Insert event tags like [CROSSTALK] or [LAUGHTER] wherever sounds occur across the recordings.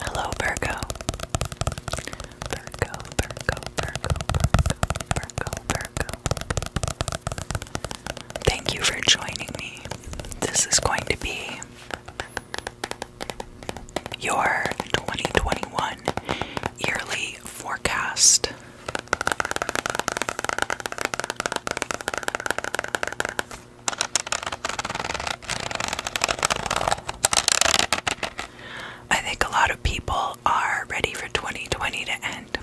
Hello, Virgo. Virgo, Virgo, Virgo, Virgo, Virgo, Virgo. Thank you for joining me. This is going to be your 2021 yearly forecast. I think a lot of people are ready for 2020 to end.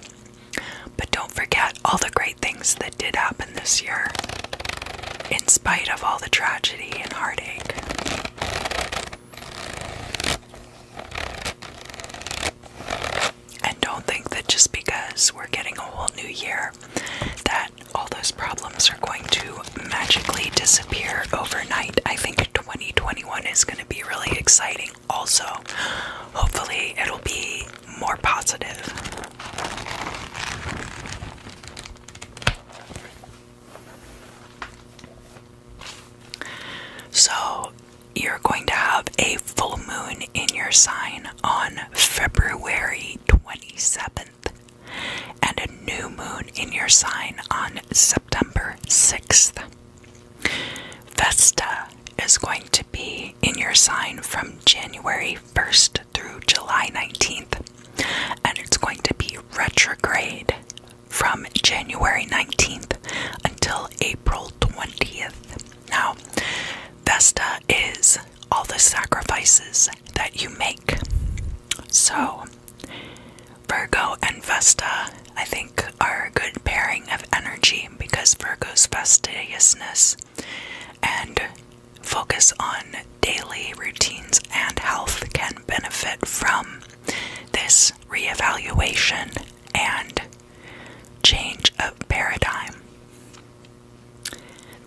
But don't forget all the great things that did happen this year, in spite of all the tragedy and heartache. And don't think that just because we're getting a whole new year that all those problems are going to magically disappear overnight. I think 2021 is going to be really exciting, also. Hopefully, it'll be more positive. So, you're going to have a full moon in your sign on February 27th and a new moon in your sign on September 6th. Vesta is going to be in your sign from January 1st through July 19th, and it's going to be retrograde from January 19th until April 20th. Now, Vesta is all the sacrifices that you make. So, Virgo and Vesta, I think, are a good pairing of energy because Virgo's fastidiousness and focus on daily routines and health can benefit from this reevaluation and change of paradigm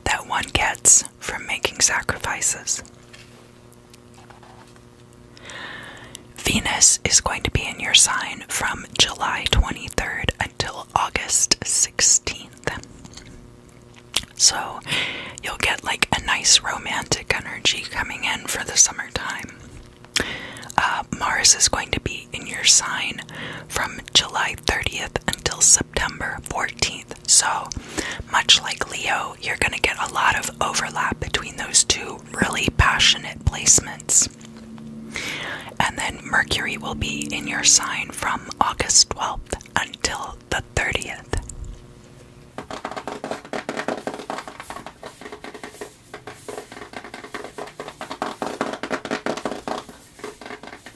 that one gets from making sacrifices. Venus is going to be in your sign from July 23rd until August 16th. So you'll get like a nice romantic energy coming in for the summertime. Uh, Mars is going to be in your sign from July 30th until September 14th. So, much like Leo, you're going to get a lot of overlap between those two really passionate placements. And then Mercury will be in your sign from August 12th until the 30th.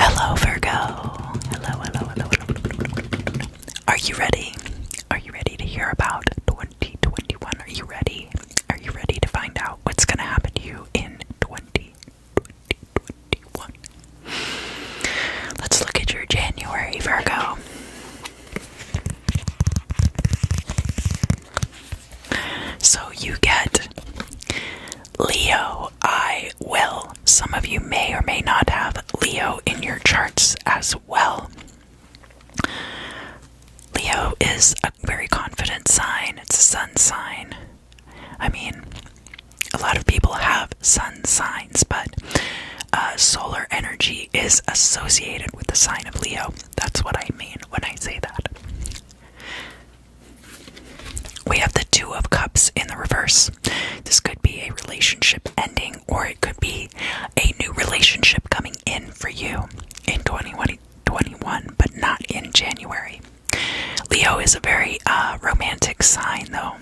Hello, Virgo. Hello, hello, hello, hello. Are you ready? Are you ready to hear about 2021? Are you ready? Are you ready to find out what's going to happen to you in 20? 2021. Let's look at your January, Virgo. So you get Leo, I will. Some of you may or may not have Leo in your charts as well. Leo is a very confident sign, it's a sun sign. I mean, a lot of people have sun signs, but uh, solar energy is associated with the sign of Leo. That's what I mean when I say that. We have the Two of Cups in the reverse. This could be a relationship ending, or it could be a new relationship coming in for you in 2021, but not in January. Leo is a very uh, romantic sign, though.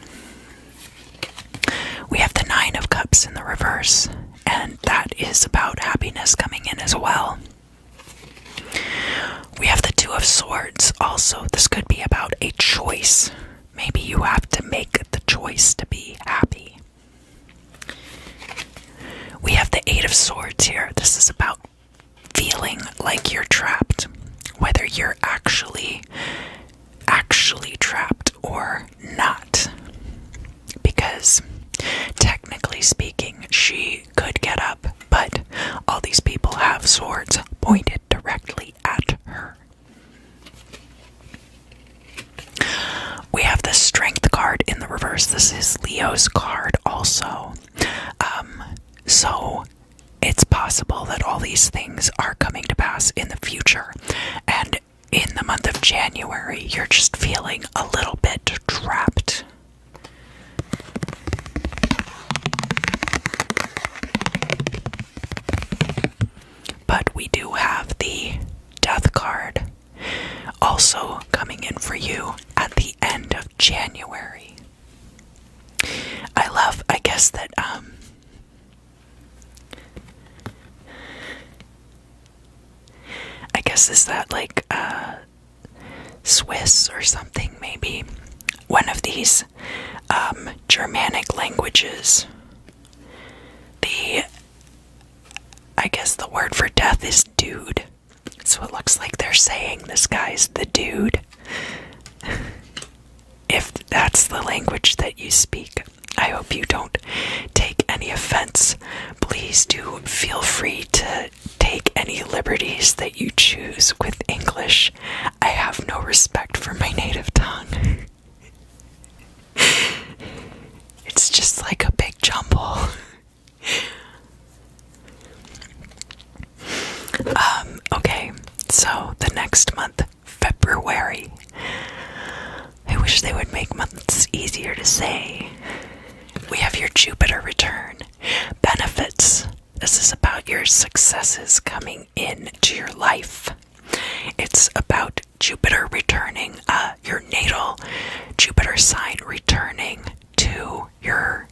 We have the Nine of Cups in the reverse, and that is about happiness coming in as well. We have the Two of Swords also. This could be about a choice. Maybe you have to make the choice to be happy. We have the Eight of Swords here. This is about feeling like you're trapped, whether you're actually actually trapped or not. Because technically speaking, she could get up, but all these people have swords pointed directly at her. We have the strength card in the reverse. This is Leo's card also. Um, so it's possible that all these things are coming to pass in the future. And in the month of January, you're just feeling a little bit trapped. But we do have the death card also coming in for you at the end of January. I love, I guess, that, um, I guess is that like, uh, Swiss or something, maybe one of these um, Germanic languages. The, I guess the word for death is dude. So it looks like they're saying this guy's the dude. if that's the language that you speak, I hope you don't take any offense. Please do feel free to take any liberties that you choose with English. I have no respect for my native tongue. [LAUGHS] it's just like a big jumble. [LAUGHS] Um, okay, so the next month, February. I wish they would make months easier to say. We have your Jupiter return. Benefits. This is about your successes coming into your life. It's about Jupiter returning, uh, your natal Jupiter sign returning to your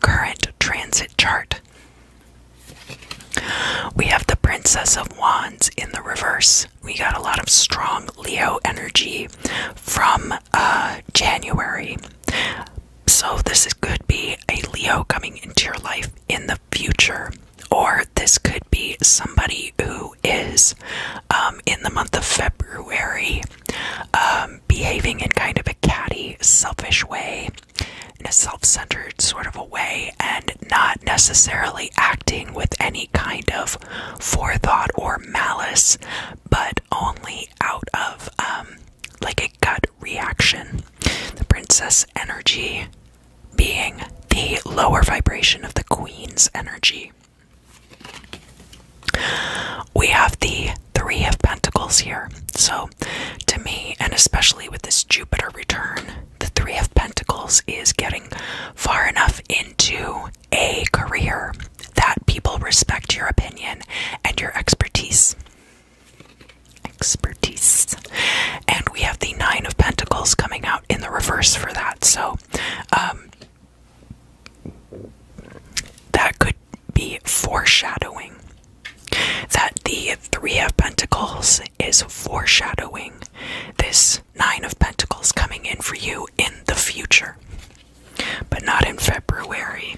Current transit chart. We have the Princess of Wands in the reverse. We got a lot of strong Leo energy from uh, January. So, this could be a Leo coming into your life in the future, or this could be somebody who is um, in the month of February. Um, um, behaving in kind of a catty, selfish way, in a self centered sort of a way, and not necessarily acting with any kind of forethought or malice, but only out of um, like a gut reaction. The princess energy being the lower vibration of the queen's energy. We have the Three of Pentacles here. So, to me, and especially with this Jupiter return, the Three of Pentacles is getting far enough into a career that people respect your opinion and your expertise. Expertise. And we have the Nine of Pentacles coming out in the reverse for that. So, um, that could be foreshadowing. That the Three of Pentacles is foreshadowing this Nine of Pentacles coming in for you in the future, but not in February.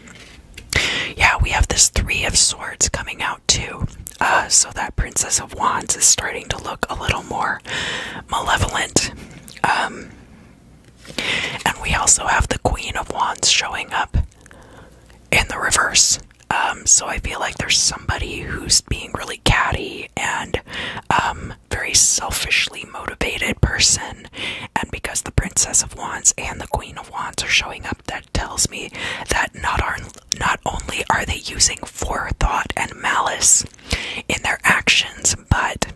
Yeah, we have this Three of Swords coming out too. Uh, so that Princess of Wands is starting to look a little more malevolent. Um, and we also have the Queen of Wands showing up in the reverse. Um, so I feel like there's somebody who's being really catty and um, very selfishly motivated person. And because the Princess of Wands and the Queen of Wands are showing up, that tells me that not only are they using forethought and malice in their actions, but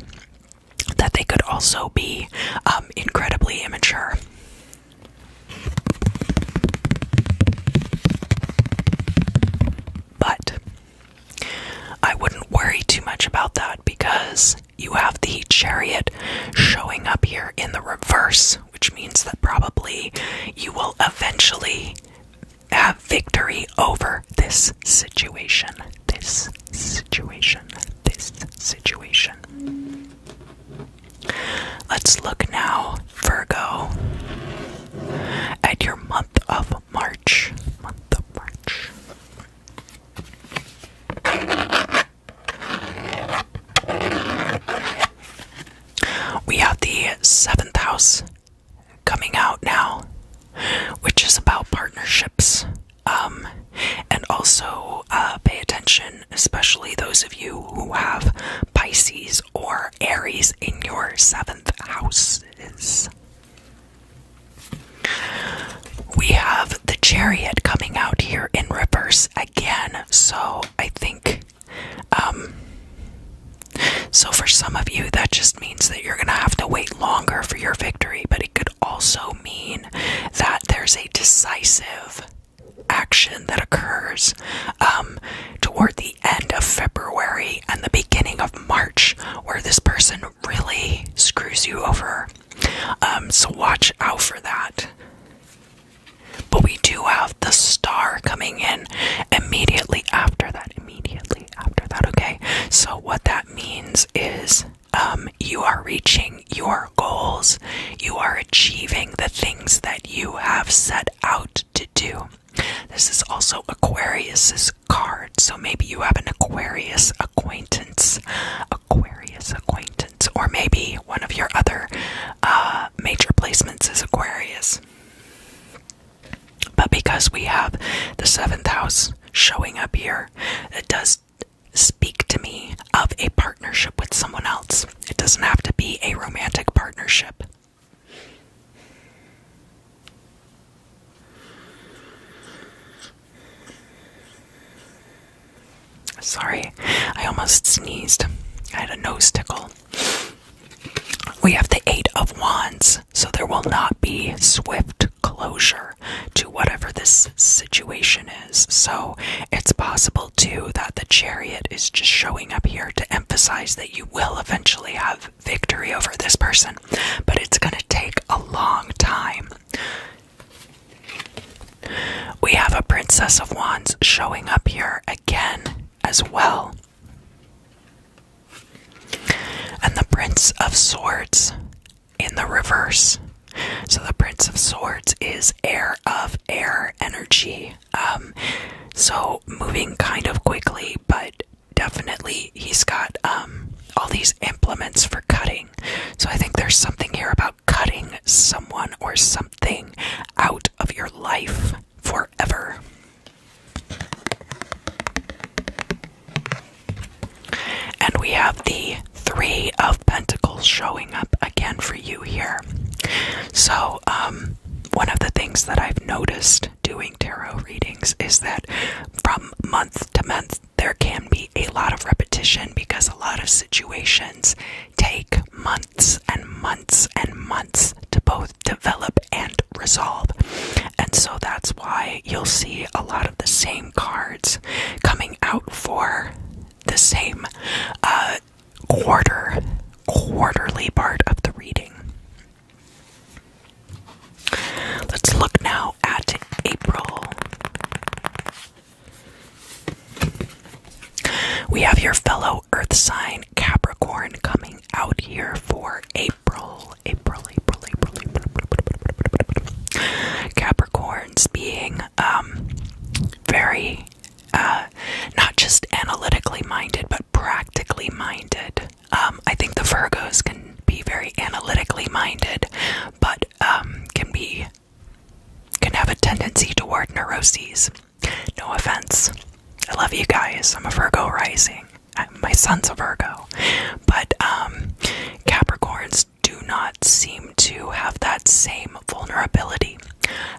that they could also be um, incredibly immature. But I wouldn't worry too much about that because you have the chariot showing up here in the reverse, which means that probably you will eventually have victory over this situation. This situation this situation. Let's look now, Virgo, at your month of March. Month of March. We have the seventh house coming out now, which is about partnerships, um, and also uh, pay attention, especially those of you who have Pisces or Aries in your seventh houses. We have the chariot coming out here in reverse again, so I think. Um, so, for some of you, that just means that you're gonna have to wait longer for your victory, but it could also mean that there's a decisive action that occurs um, toward the end of February and the beginning of March where this person really screws you over. Um, so watch out for that. But we do have the star coming in immediately after that. Immediately after that, okay? So, what that means is um, you are reaching your goals, you are achieving the things that you have set out to do. This is also Aquarius's card, so maybe you have an Aquarius acquaintance, Aquarius acquaintance, or maybe one of your other uh, major placements is Aquarius. But because we have the seventh house showing up here, it does speak to me of a partnership with someone else. It doesn't have to be a romantic partnership. Sorry, I almost sneezed. I had a nose tickle. We have the Eight of Wands, so there will not be swift closure to whatever this situation is. So it's possible too that the chariot is just showing up here to emphasize that you will eventually have victory over this person, but it's going to take a long time. We have a Princess of Wands showing up here again as well. And the Prince of Swords in the reverse. So the Prince of Swords is air of air energy. Um, so moving kind of quickly, but definitely he's got um, all these implements for cutting. So I think there's something here about cutting someone or something out of your life forever. And we have the Three of Pentacles showing up again for you here. So, um, one of the things that I've noticed doing tarot readings is that from month to month, there can be a lot of repetition because a lot of situations take months and months and months to both develop and resolve. And so that's why you'll see a lot of the same cards coming out for the same uh, quarter, quarterly part of the reading. Let's look now at April. We have your fellow Earth sign Capricorn coming out here for April, April, April. April. Capricorns being um, very uh, not just analytically minded, but practically minded. Um, I think the Virgos can be very analytically minded, but um, can be can have a tendency toward neuroses. No offense. I love you guys. I'm a Virgo rising. my son's a Virgo, but um, Capricorns do not seem to have that same vulnerability.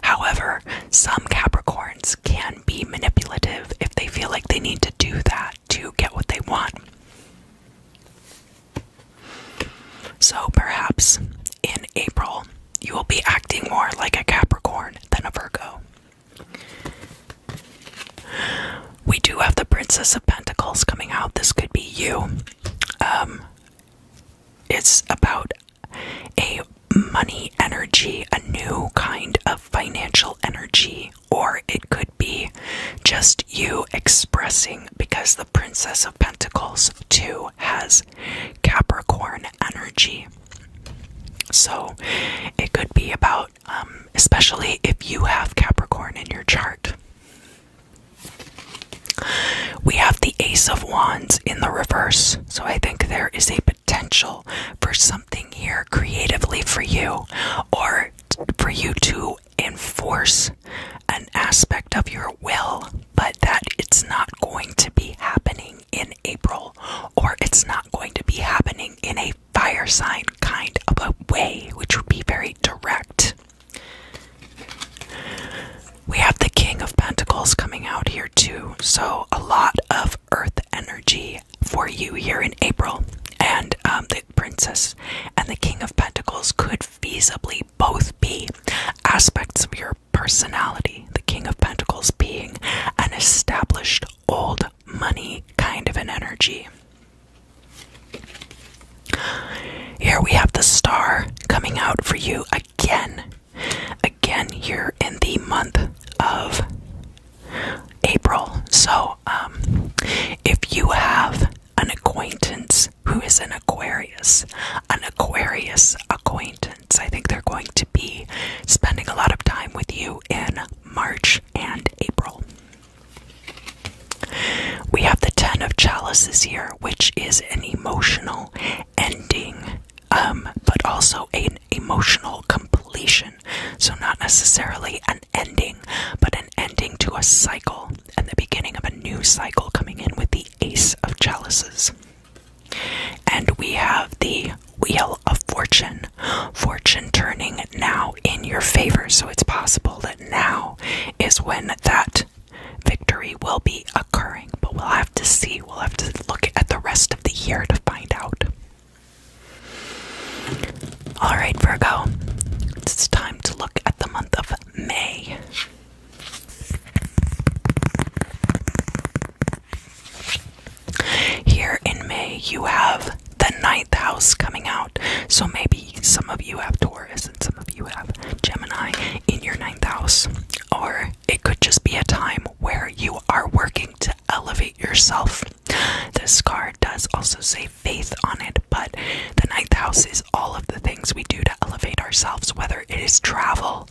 However, some Capricorns can be manipulative if they feel like they need to do that to get what they want. So perhaps in April, you will be acting more like a Capricorn than a Virgo. We do have the Princess of Pentacles coming out. This could be you. Um, it's about a money energy, a new kind of financial energy, or it could be just you expressing because the Princess of Pentacles too has Capricorn energy. So it could be about, um, especially if you have Capricorn in your chart. We have the Ace of Wands in the reverse, so I think there is a potential for something here creatively for you or for you to enforce an aspect of your will, but that it's not going to be happening in April or it's not going to be happening in a fire sign kind of a way, which would be very direct. We have the King of Pentacles coming out here too, so a lot of earth energy for you here in April. And um, the Princess and the King of Pentacles could feasibly both be aspects of your personality. The King of Pentacles being an established old money kind of an energy. Here we have the star coming out for you again. Again, here in the month of April. So, um, if you have an acquaintance who is an Aquarius, an Aquarius acquaintance, I think they're going to be spending a lot of time with you in March and April. We have the Ten of Chalices here, which is an emotional ending, um, but also an emotional completion. So, not necessarily an ending, but an ending to a cycle and the beginning of a new cycle coming in with the Ace of Chalices. And we have the Wheel of Fortune, fortune turning now in your favor. So, it's possible that now is when that victory will be occurring, but we'll have to see. We'll have to look at the rest of the year to find out. Alright, Virgo, it's time to look at the month of May. Here in May, you have the ninth house coming out. So maybe some of you have Taurus and some of you have Gemini in your ninth house. Or it could just be a time where you are working to elevate yourself. This card does also say faith on it, but the ninth house is all of the things we do to elevate ourselves, whether it is travel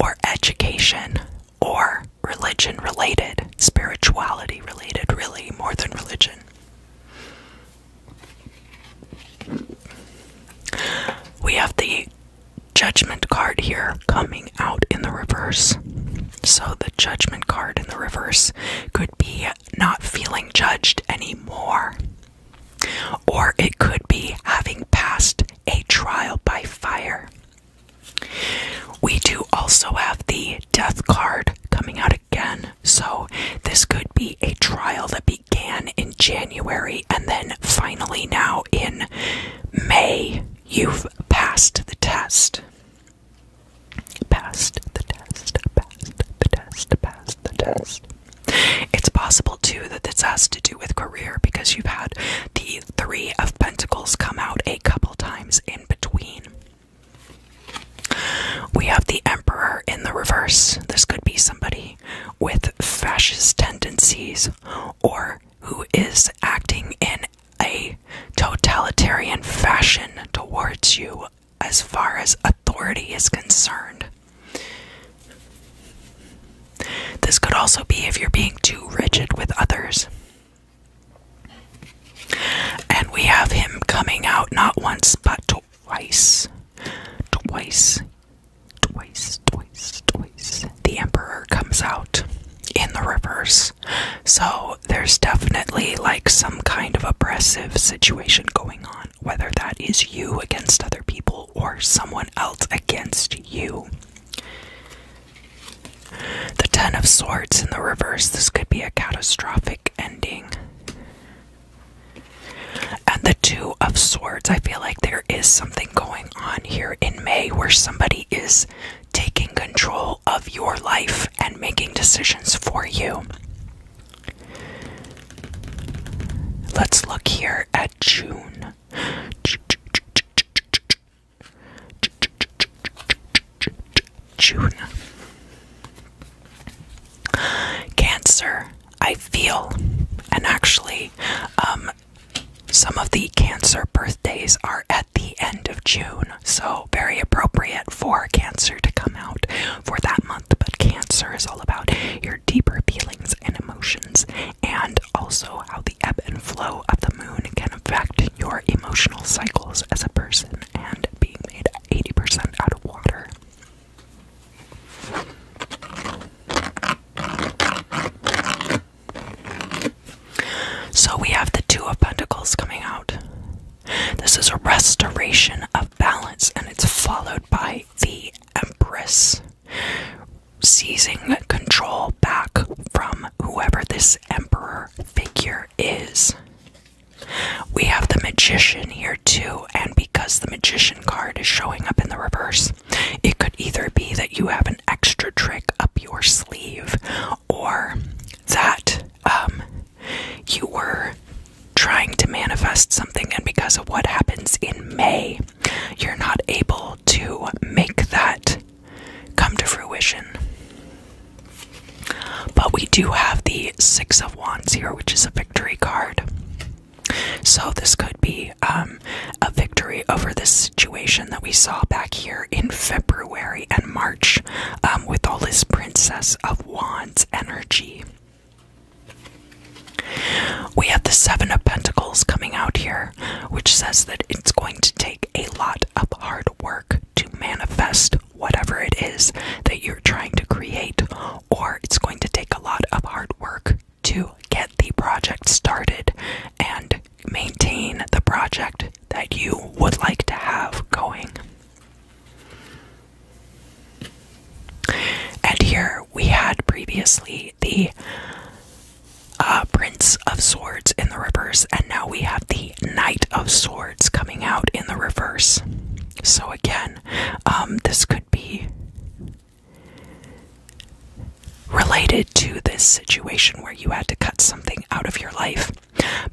or education or religion related, spirituality related, really, more than religion. We have the judgment card here coming out in the reverse. So the judgment card in the reverse could be not feeling judged anymore. Or it could be having passed a trial by fire. We do also have the death card coming out again. So this could be a trial that began in January and then finally now in May, you've passed the test. Passed the test, passed the test, passed the test. It's possible too that this has to do with career because you've had the Three of Pentacles come out a couple times in between. We have the emperor in the reverse. This could be somebody with fascist tendencies or who is acting in a totalitarian fashion towards you as far as authority is concerned. This could also be if you're being too rigid with others. And we have him coming out not once but twice twice, twice, twice, twice. The Emperor comes out in the reverse. So there's definitely like some kind of oppressive situation going on, whether that is you against other people or someone else against you. The Ten of Swords in the reverse, this could be a catastrophic ending. And the Two of Swords, I feel like there is something going on here in May where somebody is taking control of your life and making decisions for you. Let's look here at June. June. Cancer. I feel, and actually, um, some of the Cancer birthdays are at the end of June, so very appropriate for Cancer to come out for that month. But Cancer is all about your deeper feelings and emotions, and also how the ebb and flow of the moon can affect your emotional cycles as a person, and being made 80% out of water. So we have the Two of Pentacles coming out. This is a restoration of balance, and it's followed by the Empress seizing control back from whoever this Emperor figure is. We have the Magician here too, and because the Magician card is showing up in the reverse, it could either be that you have an extra trick up your sleeve or that um, you were trying to manifest something, and because of what happens in May, you're not able to make that come to fruition. But we do have the Six of. Wands here, which is a victory card. So this could be um, a victory over this situation that we saw back here in February and March um, with all this Princess of Wands energy. We have the Seven of Pentacles coming out here, which says that it's going to take a lot of hard work to manifest whatever it is that you trying to create, or it's going to take a lot of hard work to get the project started and maintain the project that you would like to have going. And here we had previously the uh, Prince of Swords in the reverse, and now we have the Knight of Swords coming out in the reverse. So, again, um, this could be related to this situation where you had to cut something out of your life,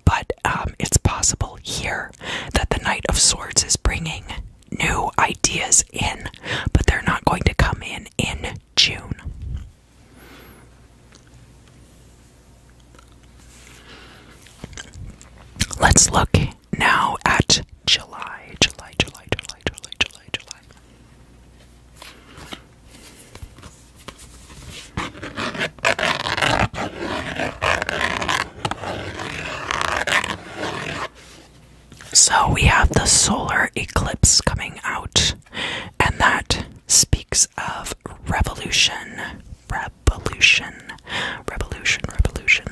but um, it's possible here that the Knight of Swords is bringing new ideas in, but they're not going to come in in June. Let's look now at July, July, July, July, July, July, July. So we have the solar eclipse coming out, and that speaks of revolution revolution. Revolution, revolution.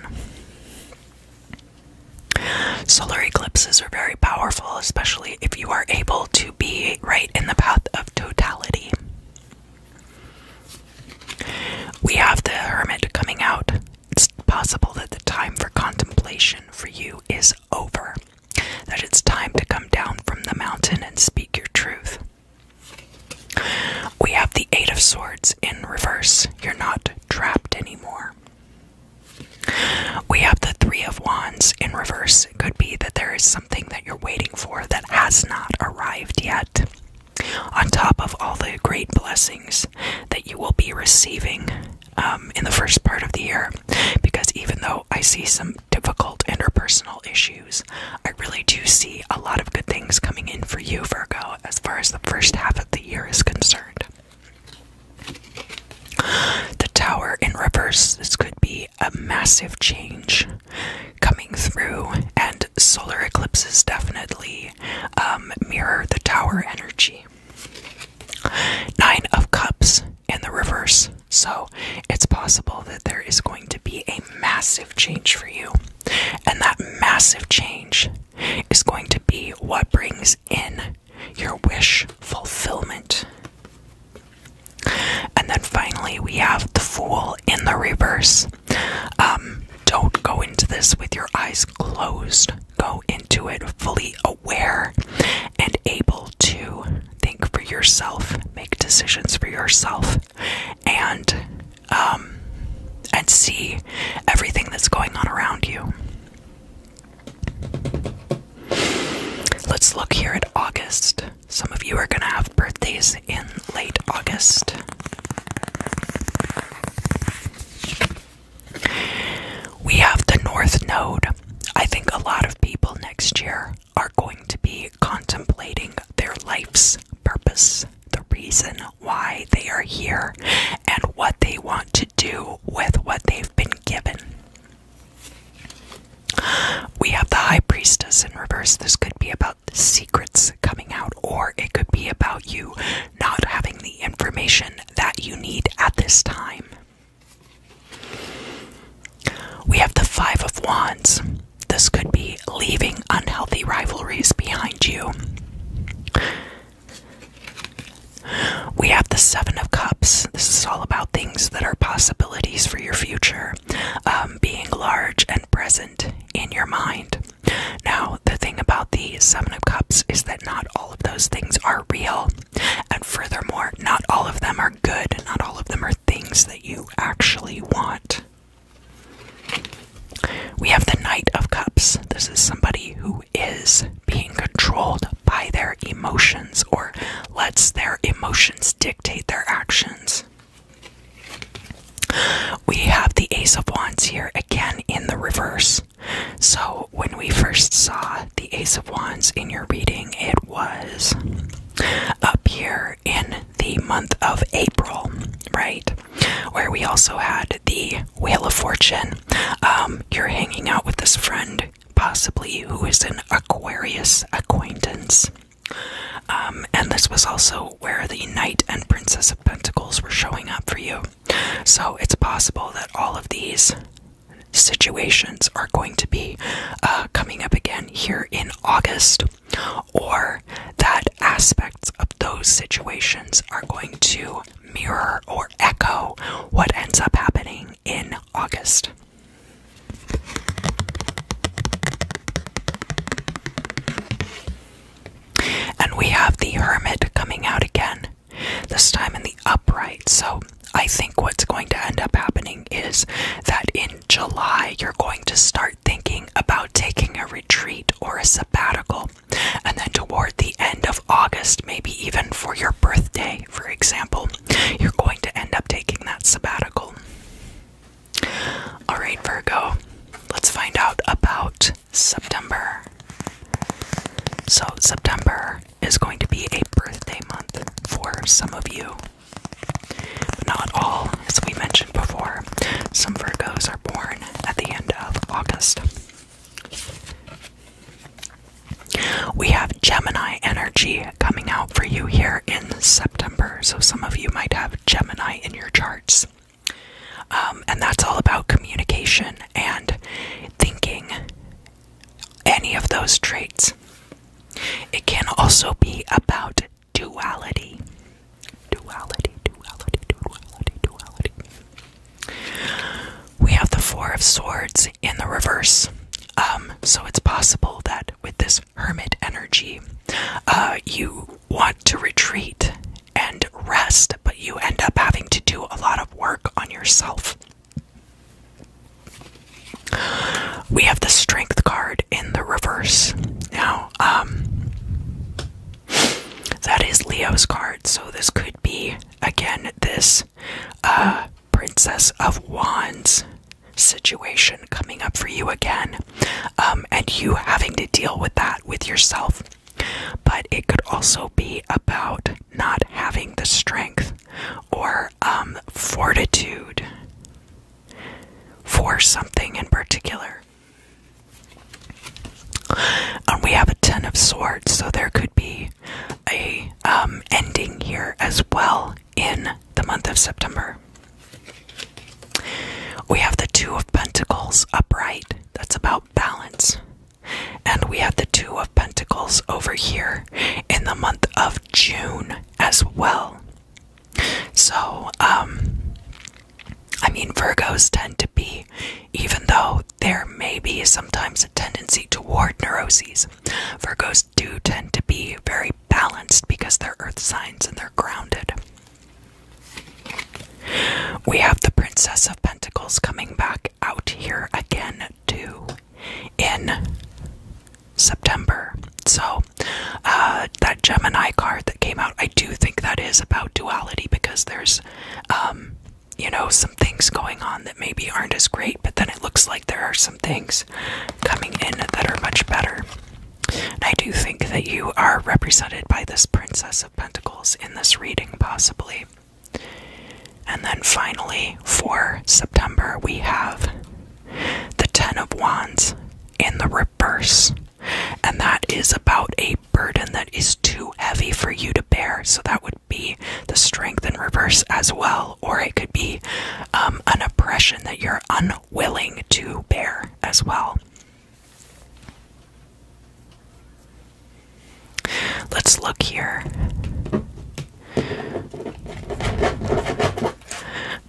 Solar eclipses are very powerful, especially if you are able to be right in the path of totality. We have the hermit coming out. It's possible that the time for contemplation for you is over, that it's time to come down from the mountain and speak your truth. We have the Eight of Swords in reverse. You're not trapped anymore. We have the Three of Wands in reverse. It could be that there is something that you're waiting for that has not arrived yet. On top of all the great blessings that you will be receiving um, in the first part of the year, because even though I see some difficult interpersonal issues, I really do see a lot of good things coming in for you, Virgo as far as the first half of the year is concerned. The tower in reverse, this could be a massive change coming through, and solar eclipses definitely um, mirror the tower energy. Nine of Cups in the reverse, so it's possible that there is going to be a massive change for you, and that massive change is going to be what brings in your wish fulfillment. And then finally, we have the Fool in the reverse. Um, don't go into this with your eyes closed, go into it fully aware and able to think for yourself, make decisions for yourself, and um, and see everything that's going on around you. Let's look here at August. Some of you are going to have birthdays in late August. We have the North Node. I think a lot of people next year are going to be contemplating their life's purpose the reason why they are here and what they want to do with what they've been given. We have the High Priestess in reverse. This could be about the secrets coming out, or it could be about you not having the information that you need at this time. We have the Five of Wands. This could be leaving unhealthy rivalries behind you. We have the Seven of Cups. This is all about things that are possibilities for your future, um, being large and present in your mind. Now, the thing about the Seven of Cups is that not all of those things are real. And furthermore, not all of them are good, not all of them are things that you actually want. We have the Knight of Cups. This is somebody who is being controlled by their emotions or lets their emotions dictate their actions. We have the Ace of Wands here again in the reverse. So, when we first saw the Ace of Wands in your reading, it was up here in the month of April, right? where we also had the Wheel of Fortune. Um, you're hanging out with this friend, possibly who is an Aquarius acquaintance. Um, and this was also where the Knight and Princess of Pentacles were showing up for you. So it's possible that all of these situations are going to be uh, coming up again here in August or that aspects of those situations are going to mirror or echo what ends up happening in August. And we have the Hermit coming out again, this time in the upright. So I think what's going to end up happening is that in July, you're going to start thinking about taking a retreat or a sabbatical and then toward the end of August, maybe even for your birthday, for example, you're going to end up taking that sabbatical. All right, Virgo, let's find out about September. So, September is going to be a birthday month for some of you, not all, as we mentioned before, some Virgos are born at the end of August. We have Gemini energy coming out for you here in September, so some of you might have Gemini in your charts. Um, and that's all about communication and thinking, any of those traits. It can also be about duality. Duality, duality, duality, duality. We have the Four of Swords in the reverse. Um, so it's possible that with this hermit energy, uh, you want to retreat and rest, but you end up having to do a lot of work on yourself. We have the Strength card in the reverse. Now, um, that is Leo's card, so this could be again this uh, Princess of Wands situation coming up for you again, um, and you having to deal with that with yourself. But it could also be about not having the strength or um, fortitude for something in particular. Um, we have a Ten of Swords, so there could be a um, ending here as well in the month of September. We have the Two of Pentacles upright. That's about balance. And we have the Two of Pentacles over here in the month of June as well. So, um, I mean, Virgos tend to be, even though there may be sometimes a tendency toward neuroses, Virgos do tend to be very balanced because they're earth signs and they're grounded. We have the Princess of Pentacles coming back out here again, too, in September. So, uh, that Gemini card that came out, I do think that is about duality because there's, um, you know, some things going on that maybe aren't as great, but then it looks like there are some things coming in that are much better. I do think that you are represented by this Princess of Pentacles in this reading, possibly. And then finally, for September, we have the Ten of Wands in the reverse and that is about a burden that is too heavy for you to bear. So that would be the strength in reverse as well, or it could be um, an oppression that you're unwilling to bear as well. Let's look here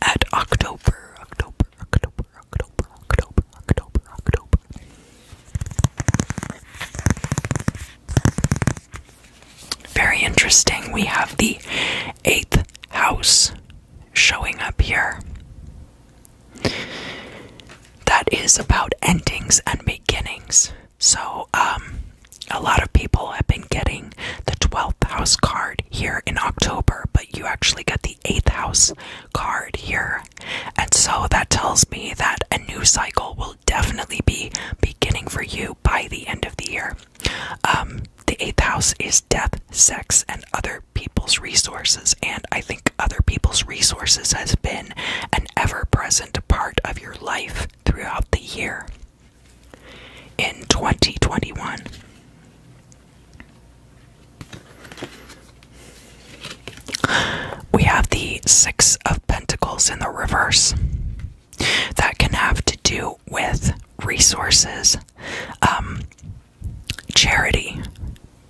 at October, October, very interesting. We have the eighth house showing up here. That is about endings and beginnings. So, um, a lot of people have been getting the 12th house card here in October, but you actually get the 8th house card here. And so that tells me that a new cycle will definitely be beginning for you by the end of the year. Um, the eighth house is death, sex, and other people's resources. And I think other people's resources has been an ever present part of your life throughout the year. In 2021, we have the Six of Pentacles in the reverse. That can have to do with resources, um, charity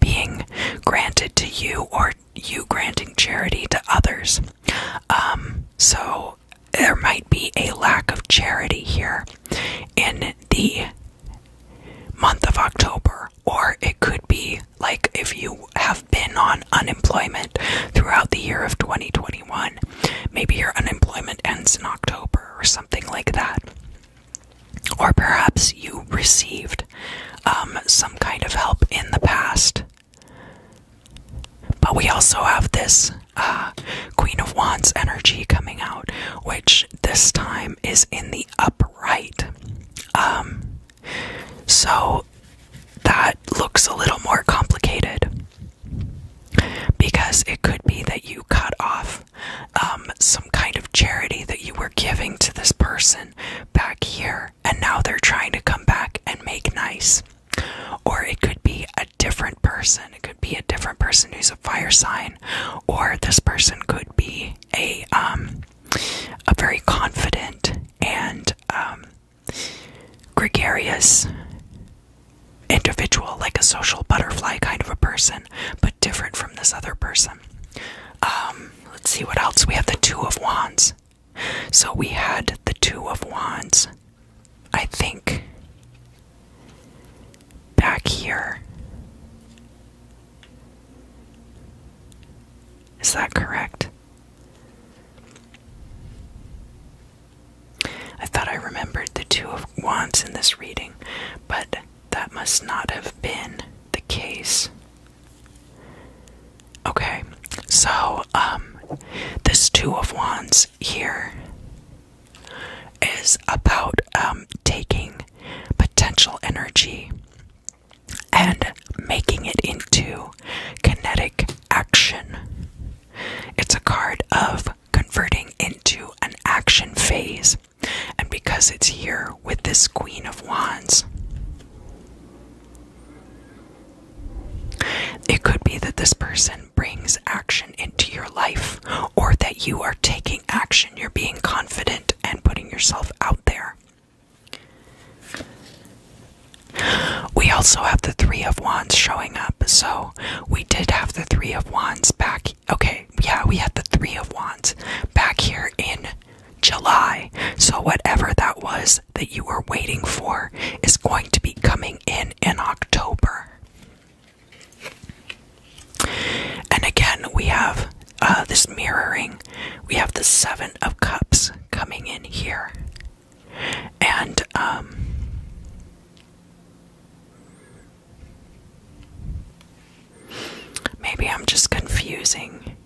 being granted to you, or you granting charity to others. Um, so there might be a lack of charity here in the month of October, or it could be like if you have been on unemployment throughout the year of 2021. Maybe your unemployment ends in October or something like that. Or perhaps you received um, some kind of help in the past. But we also have this uh, Queen of Wands energy coming out, which this time is in the upright. Um, so that looks a little more complicated because it could be that you cut off um, some kind of charity that you were giving to this person back here, and now they're trying to come back and make nice. Or it could be a different person. It could be a different person who's a fire sign, or this person could be a um, a very confident and um, gregarious individual, like a social butterfly kind of a person, but different from this other person. Um, let's see what else. We have the Two of Wands. So we had the Two of Wands, I think, back here. Is that correct? I thought I remembered the Two of Wands in this reading, but that must not have been the case. Okay, so, um, this Two of Wands here is about, um, taking potential energy and making it into kinetic action. It's a card of converting into an action phase, and because it's here with this Queen of Wands, it could be that this person brings action into your life or that you are taking action, you're being confident and putting yourself out there. We also have the Three of Wands showing up, so we did have the Three of Wands back. Okay, yeah, we had the Three of Wands back here in July. So, whatever that was that you were waiting for is going to be coming in in October. And again, we have uh, this mirroring. We have the Seven of Cups coming in here. And, um, Maybe I'm just confusing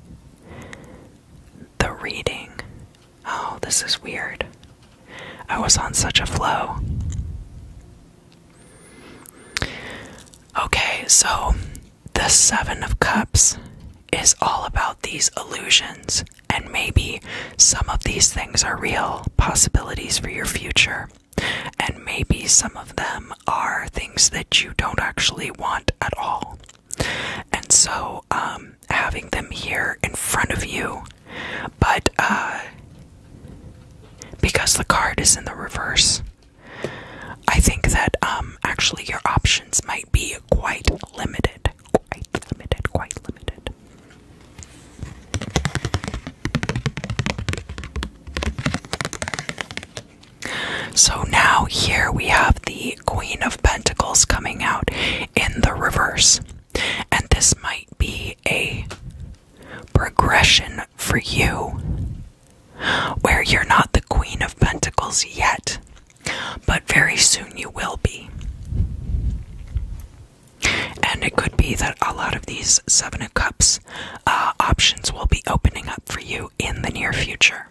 the reading. Oh, this is weird. I was on such a flow. Okay, so the Seven of Cups is all about these illusions, and maybe some of these things are real possibilities for your future, and maybe some of them are things that you don't actually want at all. And so, um, having them here in front of you, but uh, because the card is in the reverse, I think that um, actually your options might be quite limited. Quite limited, quite limited. So now here we have the Queen of Pentacles coming out in the reverse. And this might be a progression for you, where you're not the Queen of Pentacles yet, but very soon you will be. And it could be that a lot of these Seven of Cups uh, options will be opening up for you in the near future.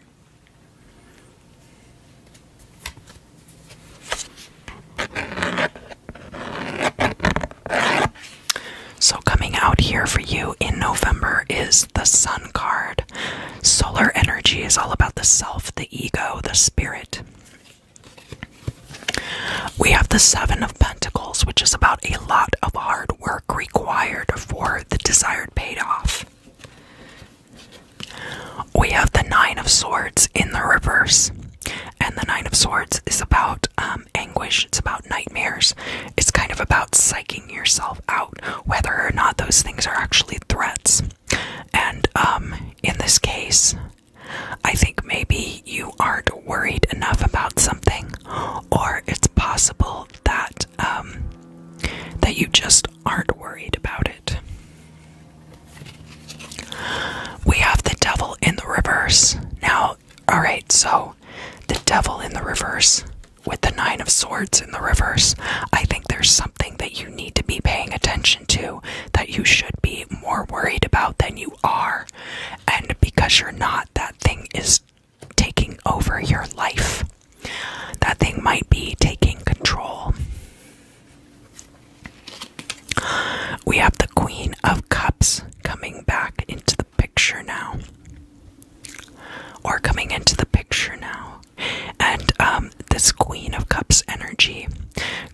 So, coming out here for you in November is the Sun card. Solar energy is all about the self, the ego, the spirit. We have the Seven of Pentacles, which is about a lot of hard work required for the desired payoff. We have the Nine of Swords in the reverse, and the Nine of Swords is about um, anguish, it's about nightmares. It's kind of about psyching yourself out, whether or not those things are actually threats. And um, in this case, I think maybe you aren't worried enough about something, or it's possible that um, that you just aren't worried about it. We have the devil in the reverse. Now, alright, so the devil in the reverse with the nine of swords in the reverse. I think there's something that you need to be paying attention to that you should be more worried about than you are. And because you're not, that thing is taking over your life. That thing might be taking control. We have the Queen of Cups coming back into the picture now. Or coming into the picture now. And um, this Queen of Cups energy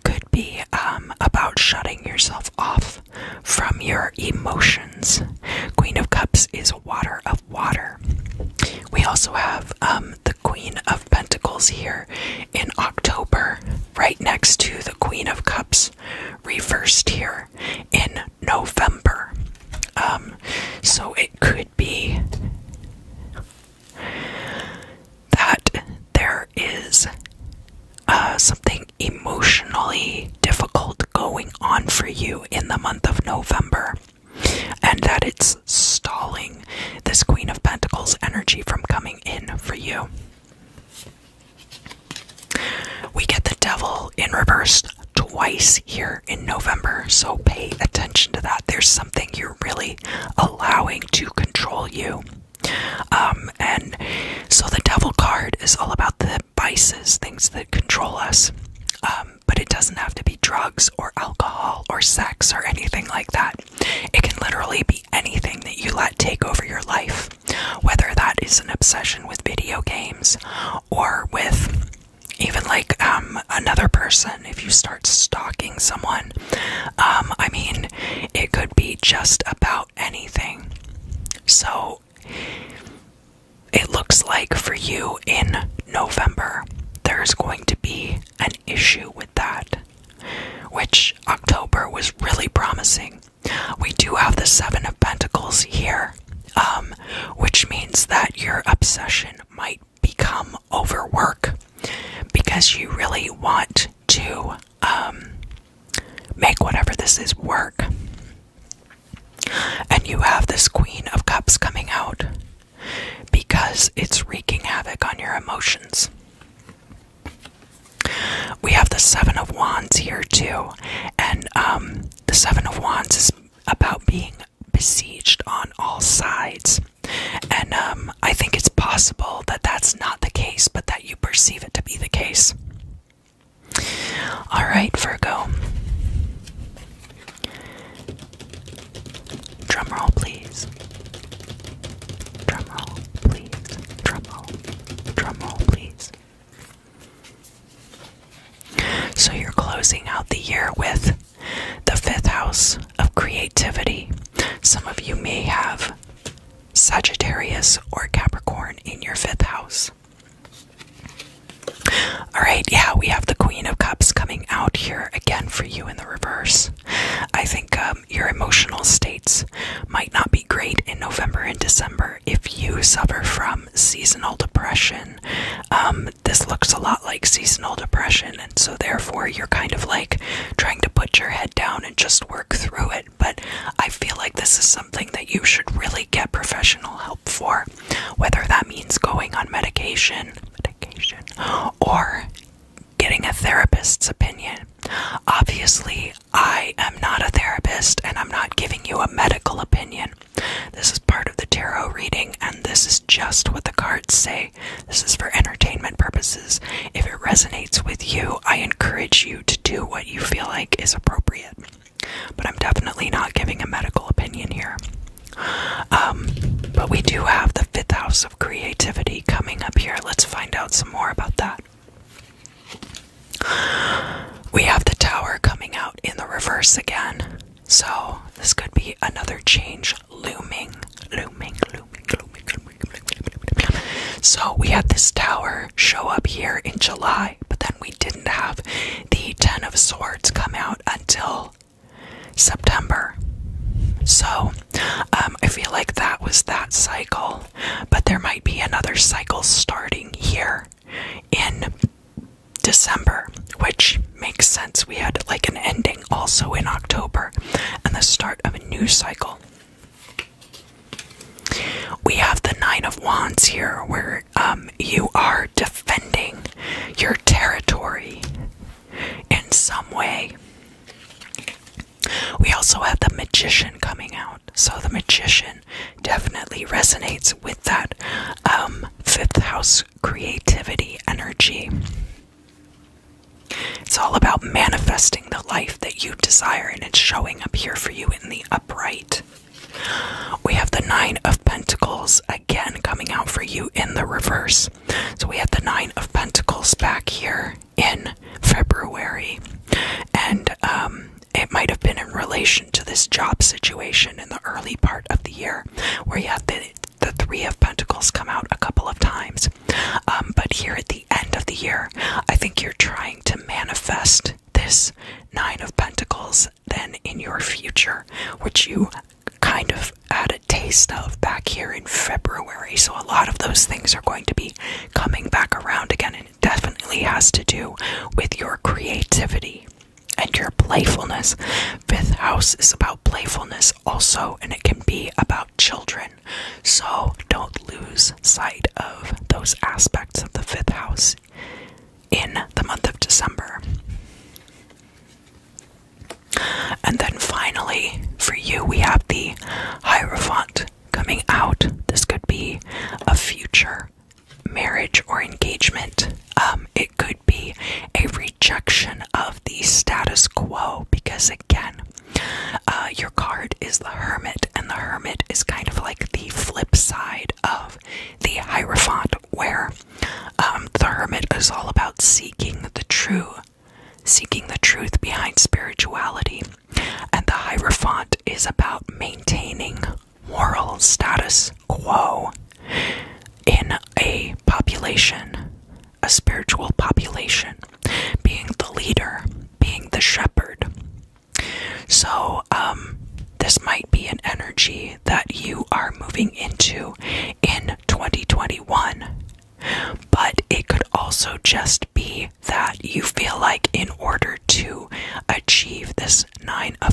could be um, about shutting yourself off from your emotions. Queen of Cups is water of water. We also have um, the Queen of Pentacles here in October, right next to the Queen of Cups reversed here in November. Um, so it could be that there is uh, something emotionally difficult going on for you in the month of November, and that it's stalling this Queen of Pentacles energy from coming in for you. We get the devil in reverse twice here in November, so pay attention to that. There's something you're really allowing to control you. Um, and so the devil card is all about the vices, things that control us. Um, but it doesn't have to be drugs or alcohol or sex or anything like that. It can literally be anything that you let take over your life, whether that is an obsession with video games or with even like um, another person if you start stalking someone um, i mean it could be just about anything so it looks like for you in november there's going to be an issue with that which october was really promising we do have the seven of pentacles here um, which means that your obsession might become overwork because you really want to um, make whatever this is work. And you have this Queen of Cups coming out because it's wreaking havoc on your emotions. We have the Seven of Wands here, too. And um, the Seven of Wands is about being besieged on all sides. And um, I think it's possible that that's not the case, but that you perceive it to be the case. All right, Virgo. Drum roll, please. Drum roll, please. Drum roll. Drum roll, please. So you're closing out the year with the fifth house of creativity. Some of you may have Sagittarius or Capricorn in your fifth house. All right, yeah, we have the Queen of Cups coming out here again for you in the reverse. I think um, your emotional states might not be great in November and December if you suffer from um, seasonal depression. Um, this looks a lot like seasonal depression, and so therefore you're kind of like trying to put your head down and just work through it. But I feel like this is something that you should really get professional help for, whether that means going on medication, medication, or getting a therapist's opinion. Obviously, I am not a therapist and I'm not giving you a medical opinion, this is part of the tarot reading, and this is just what the cards say. This is for entertainment purposes. If it resonates with you, I encourage you to do what you feel like is appropriate. But I'm definitely not giving a medical opinion here. Um, but we do have the fifth house of creativity coming up here. Let's find out some more about that. We have the tower coming out in the reverse again. So, this could be another change looming, looming, looming, looming, looming, looming. So, we had this tower show up here in July, but then we didn't have the Ten of Swords come out until September. So, um, I feel like that was that cycle, but there might be another cycle starting here in December, which makes sense. We had like an ending also in October and the start of a new cycle. We have the Nine of Wands here, where um, you are defending your territory in some way. We also have the Magician coming out. So, the Magician definitely resonates with that um, fifth house creativity energy. It's all about manifesting the life that you desire, and it's showing up here for you in the upright. We have the Nine of Pentacles again coming out for you in the reverse. So we have the Nine of Pentacles back here in February. And um, it might have been in relation to this job situation in the early part of the year, where you had the, Three of Pentacles come out a couple of times. Um, but here at the end of the year, I think you're trying to manifest this Nine of Pentacles then in your future, which you kind of had a taste of back here in February. So a lot of those things are going to be coming back around again, and it definitely has to do with your creativity and your playfulness. Fifth house is about playfulness also, and it can be about children. So don't lose sight of those aspects of the fifth house in the month of December. And then finally, for you, we have the Hierophant coming out. This could be a future marriage or engagement. Um, it could be a rejection of the status quo because, again, uh, your card is the Hermit, and the Hermit is kind of like the flip side of the Hierophant, where um, the Hermit is all about seeking the true, seeking the truth behind spirituality, and the Hierophant is about maintaining moral status quo in a population, a spiritual population, being the leader, being the shepherd. So, um, this might be an energy that you are moving into in 2021, but it could also just be that you feel like, in order to achieve this Nine of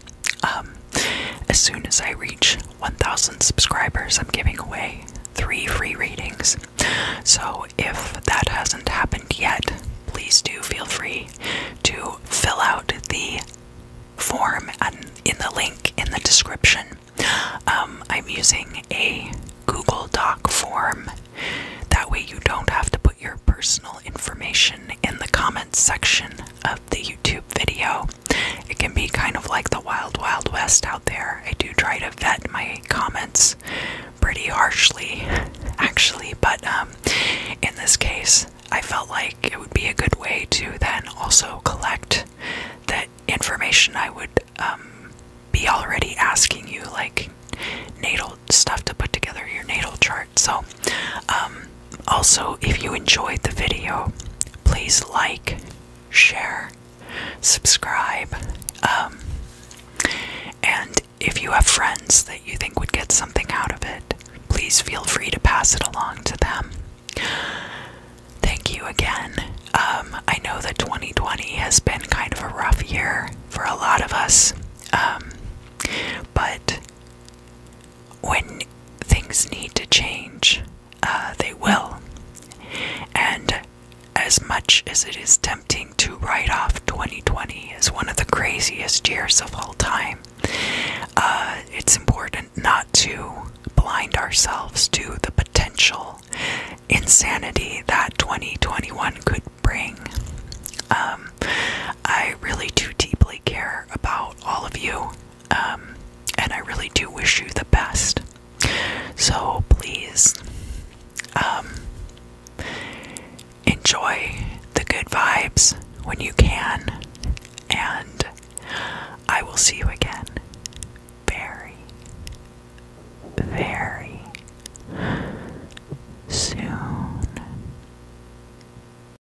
Um, as soon as I reach 1,000 subscribers, I'm giving away three free readings. So if that hasn't happened yet, please do feel free to fill out the form and in the link in the description. Um, I'm using a Google Doc form. That way, you don't have to put your personal information in the comments section of the YouTube video. It can be kind of like the wild, wild west out there. I do try to vet my comments pretty harshly, [LAUGHS] actually, but um, in this case, I felt like it would be a good way to then also collect that information I would um, be already asking you, like natal stuff to put together your natal chart. So, um, also, if you enjoyed the video, please like, share, subscribe, um, and if you have friends that you think would get something out of it, please feel free to pass it along to them. Thank you again. Um, I know that 2020 has been kind of a rough year for a lot of us, um, but when things need to change, uh, they will. And as much as it is tempting to write off 2020 as one of the craziest years of all time, uh, it's important not to blind ourselves to the potential insanity that 2021 could bring. Um, I really do deeply care about all of you um, and I really do wish you the best. So please um, enjoy the good vibes when you can, and I will see you again very, very soon.